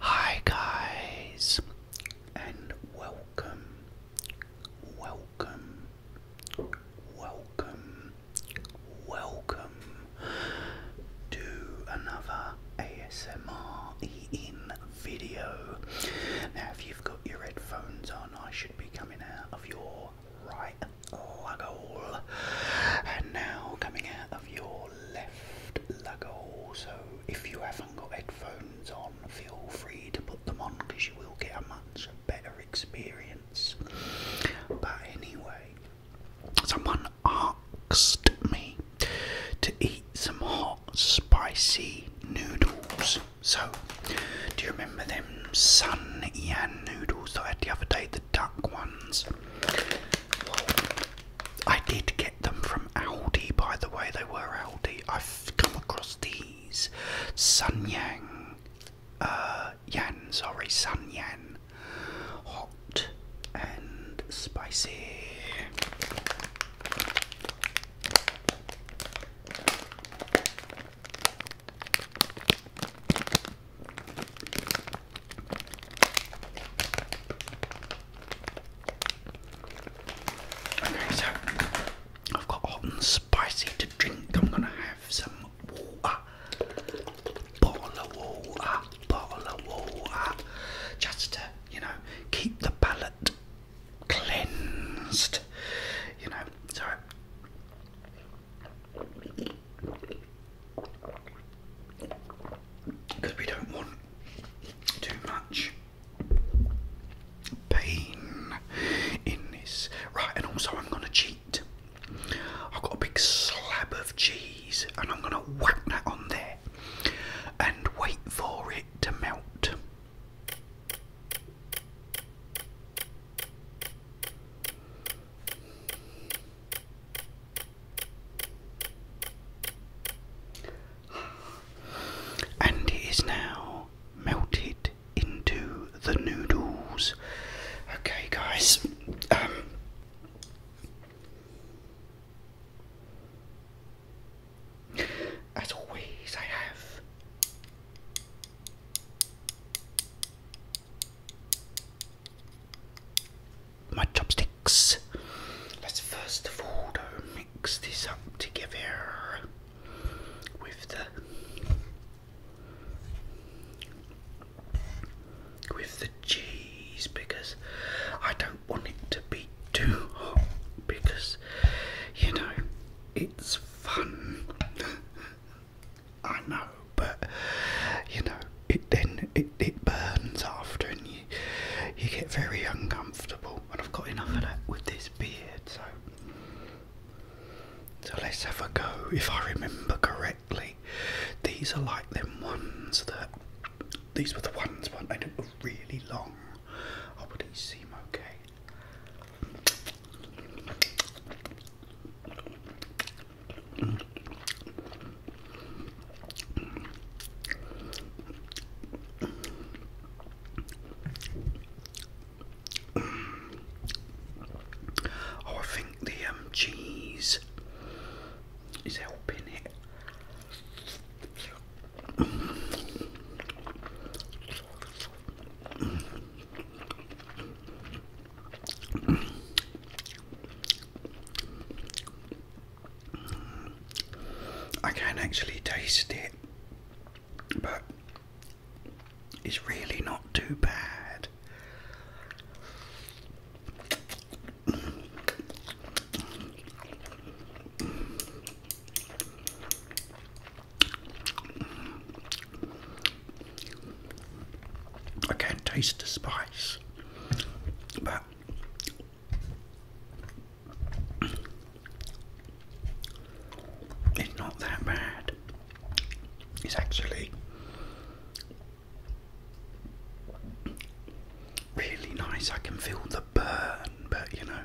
Hi guys and welcome welcome welcome welcome to another ASMR in video. Now if you've got your headphones on I should be coming out of your right lug and now coming out of your left lug hole. So if you haven't got headphones on, feel free to put them on because you will get a much better experience. But anyway, someone asked me to eat some hot spicy noodles. So, do you remember them Sun Yan noodles I had the other day, the duck ones? I did get them from Aldi, by the way, they were Aldi. I've come across these Sun Yang, uh, Yan, sorry, Sun Yan, hot and spicy. Okay, so I've got hot and spicy to drink. I'm gonna have some water, bottle of water, bottle of water, just to you know keep the palate cleansed. You know, so because we don't want too much pain in this. Right, and also I'm gonna cheat. I've got a big slab of cheese and I'm gonna whack that on there and wait for it to melt. And it is now melted into the noodles. Okay, guys. Um, as always, I have my chopsticks. Let's first of all mix this up together with the with the cheese because I don't want it to be too hot because you know it's fun I know, but you know, it then it, it burns after, and you you get very uncomfortable. And I've got enough of that with this beard, so so let's have a go. If I remember correctly, these are like them ones that these were the ones when they were really long. Oh, but these seem okay. Oh, I think the um, cheese is helping it. I can actually taste it, but it's really not too bad. I can taste the spice, but it's not that bad. It's actually really nice. I can feel the burn, but you know.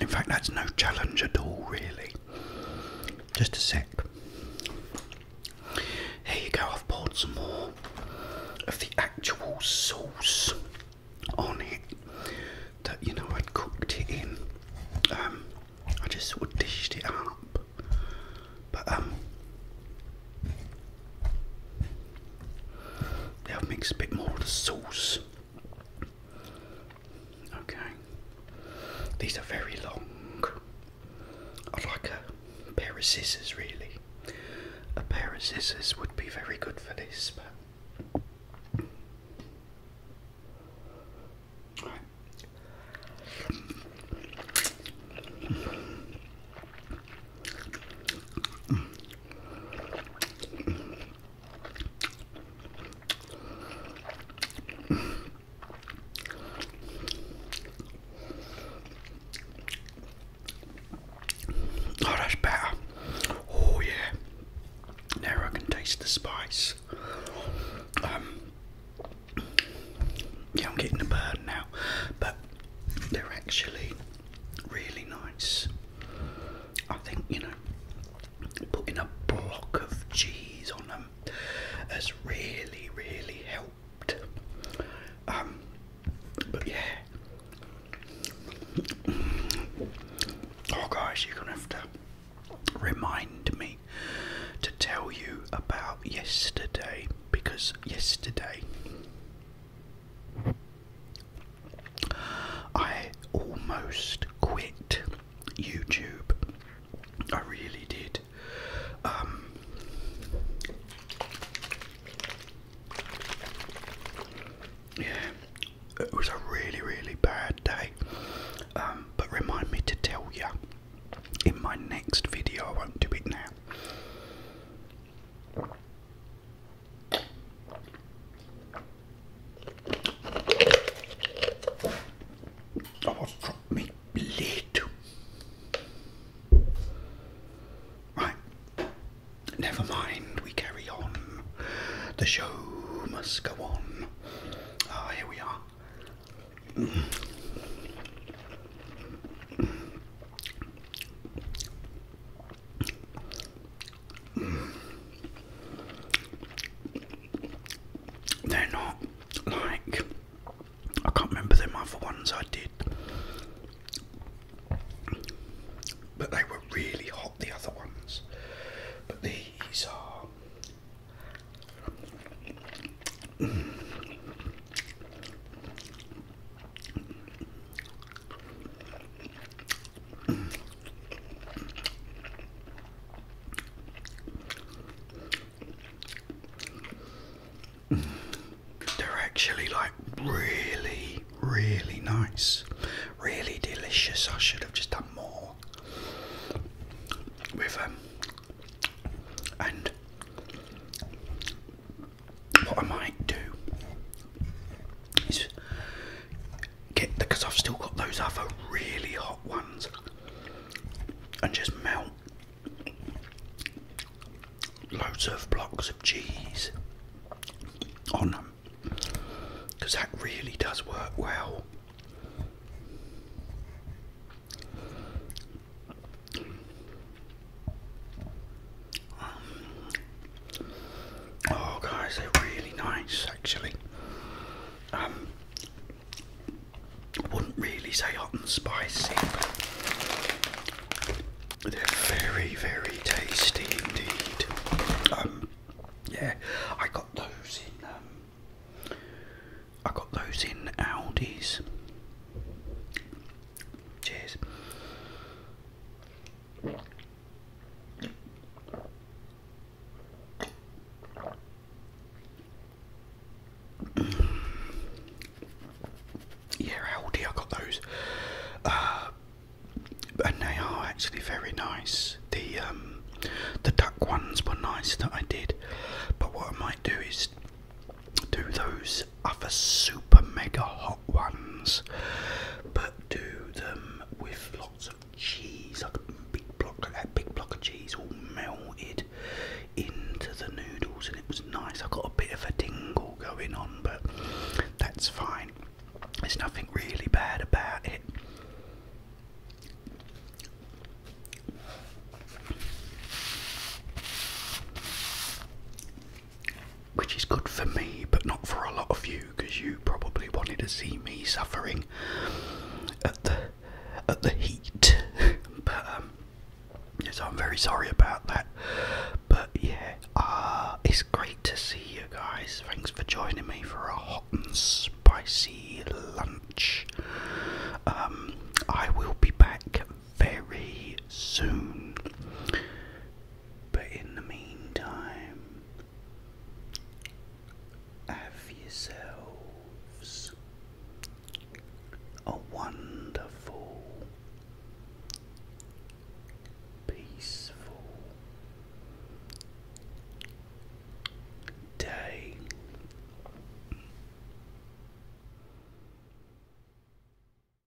In fact, that's no challenge at all, really. Just a sec. Here you go, I've poured some more of the actual sauce on it that you know I'd cooked it in. Um, I just sort of dished it up, but um, yeah, I've mixed a bit more of the sauce Okay. These are very long. I'd like a pair of scissors, really. A pair of scissors would be very good for this, but. Oh, that's better. Oh, yeah. Now I can taste the spice. Um, yeah, I'm getting a burn now, but they're actually really nice. I think you know putting a block of cheese on them has really really helped. Um, but yeah, oh guys, you're gonna have to remind me to tell you about yesterday because yesterday I almost quit YouTube. I really did. Um, yeah, it was a really, really bad day. Um, but remind me to tell you in my next video, I won't do it now. I was dropped me blade. Right. Never mind, we carry on. The show must go on. Ah, here we are. They're not like I can't remember them other ones I did, but they were really hot. The other ones, but these are. Mm. They're actually like really, really nice, really delicious. I should have just done more with them. Um, and what I might do is because I've still got those other really hot ones and just melt loads of blocks of cheese on them because that really does work well. Um, oh, guys, they're really nice actually. Um, wouldn't really say hot and spicy, but they're very, very tasty indeed. Um, yeah, I got those in. Um, I got those in Aldi's. Cheers. Yeah, Aldi, I got those, uh, and they are actually very nice. The um, the duck ones were nice that I did, but what I might do is do those other super mega hot ones, but could do them with lots of cheese, like a big block, a big block of cheese, all melted into the noodles, and it was nice. I got a bit of a tingle going on, but that's fine. There's nothing really bad about it which is good for me, but not for a lot of you, because you probably wanted to see me suffering at the at the heat. but um, so I'm very sorry about that. But yeah, uh, it's great to see you guys. Thanks for joining me for a hot and spicy lunch. Um, I will be back very soon. But in the meantime, have yourselves a wonderful, peaceful day.